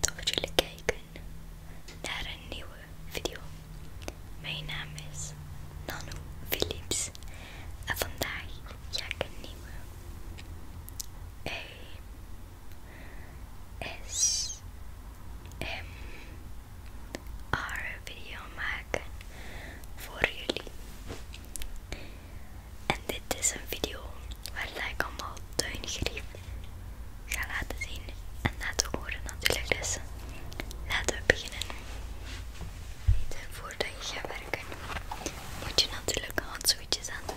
dat jullie kijken naar een nieuwe video. Mijn naam is Nano Philips en vandaag ga ik een nieuwe. S M R video maken voor jullie. En dit is een video waar ik allemaal tuingrief ga laten zien en laten horen natuurlijk. Dus laten we beginnen. Voordat je gaat werken moet je natuurlijk handschoentjes aan doen.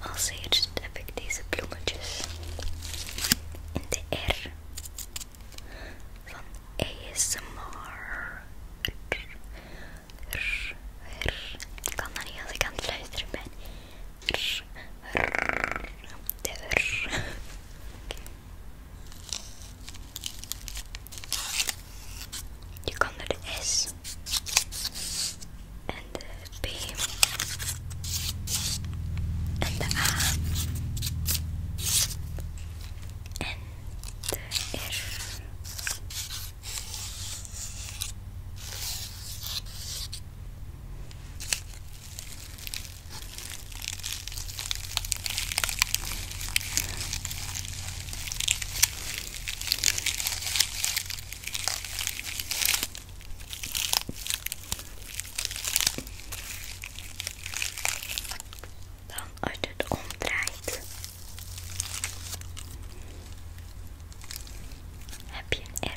Als eerst heb ik deze bloemetjes in de R van ASMR. R, r. Ik kan dat niet als ik aan het luisteren ben. R, r, de r. Je kan de S and the B and the A and the F Dan als het omdraait, heb je R.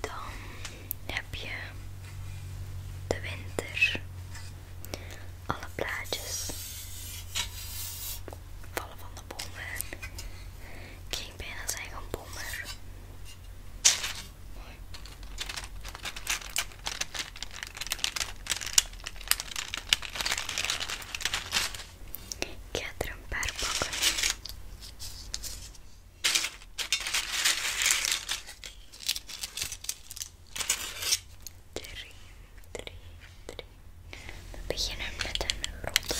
Dan heb je de winter, alle blaadjes vallen van de bomen. Ik ging bijna zeggen bommer. Quer trampar um pouco? Drie, drie, We beginnen met een ronde.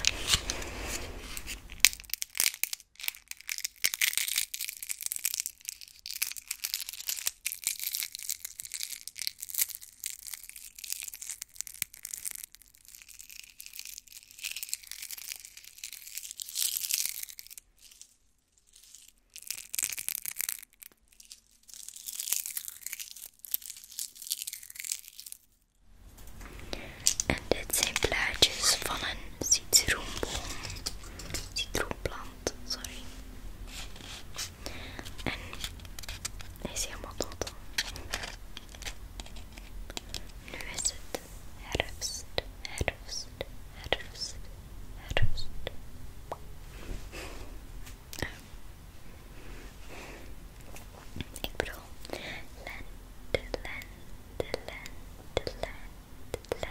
En dit zijn plaatjes van een citroenboom. Citroenplant, sorry. En hij is helemaal dood. Nu is het herfst, herfst, herfst, herfst. Ik bedoel, land, lente, land, lente, land.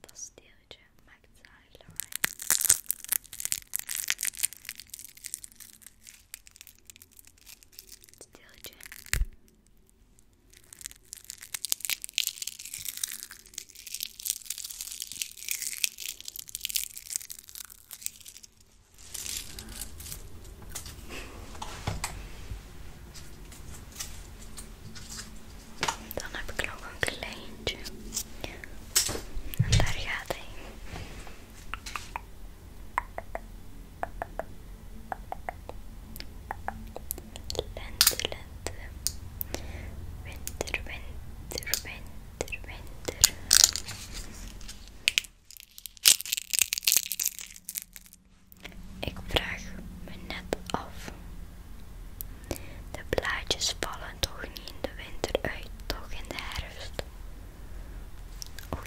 Dat steeltje maakt de highlight. Steeltje. Dan heb ik nog een kleintje. daar gaat hij. Lente, lente. Winter, winter, winter, winter. Ik vraag me net af. De blaadjes vallen toch niet in de winter uit, toch in de herfst. Oh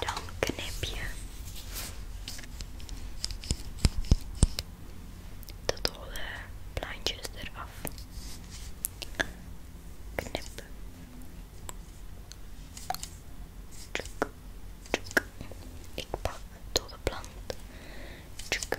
Dan knip je dat alle plantjes eraf. Knip. Tjuk, tjuk. Ik pak de dode plant. Tjuk. Tjuk.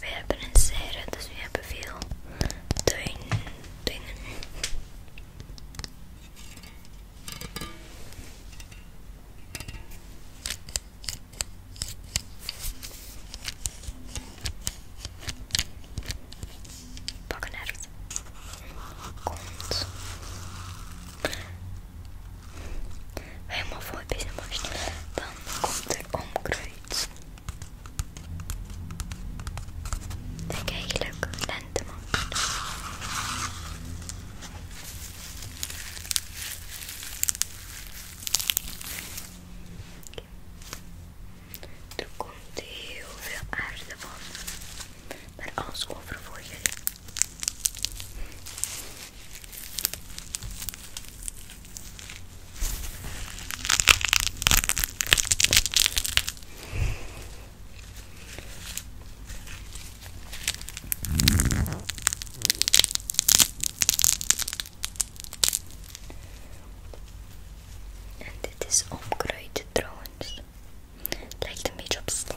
We hebben een serre, dus we hebben veel tuin, dingen. Bakken uit. Komt. Helemaal voor bezig Dan komt er omkruid ik een hele lente man. Er komt heel veel aarde van. Maar alles over voor je. En dit is onkruid drones. lijkt een beetje op sla.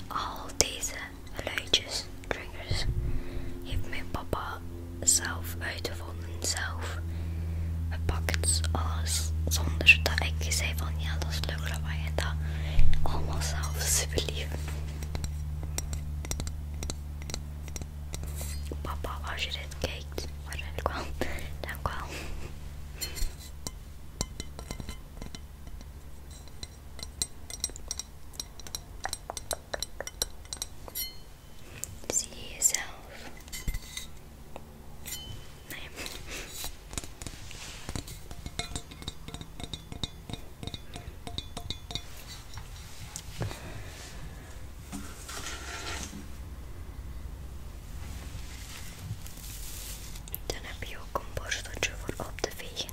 En al deze geluidjes, triggers, heeft mijn papa zelf uitgevonden, zelf gepakt, alles. Zonder dat ik zei van ja, dat is leuk dat wij dat. Allemaal zelf, super Papa, als je dit kijkt, guarda di qua see yourself no. Dan heb je ook een borsteltje voor op te vegen.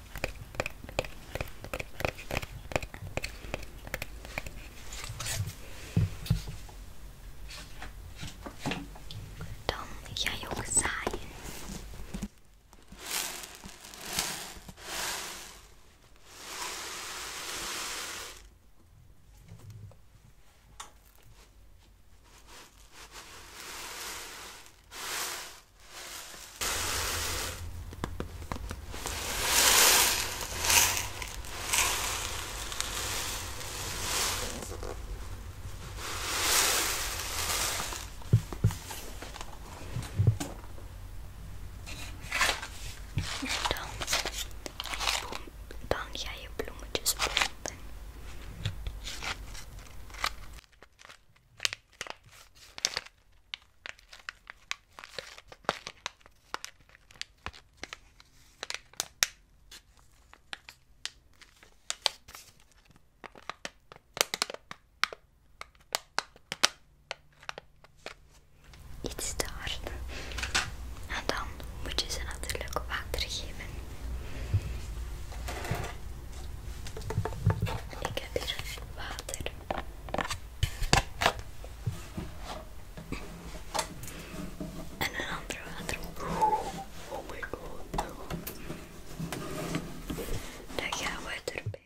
Dan jij ook zaaien dan, dan ga je bloemetjes planten. Iets te En dan moet je ze natuurlijk water geven. Ik heb hier water. And another, another. Oh my god. Daqui a água é torpeiro.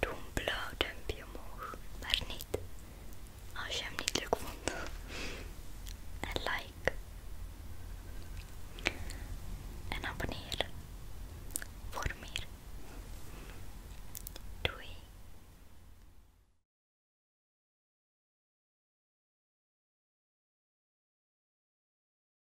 Doe een blauw duimpje omhoog, maar niet als je hem niet leuk vond. En like. En abonneer voor meer. Doei.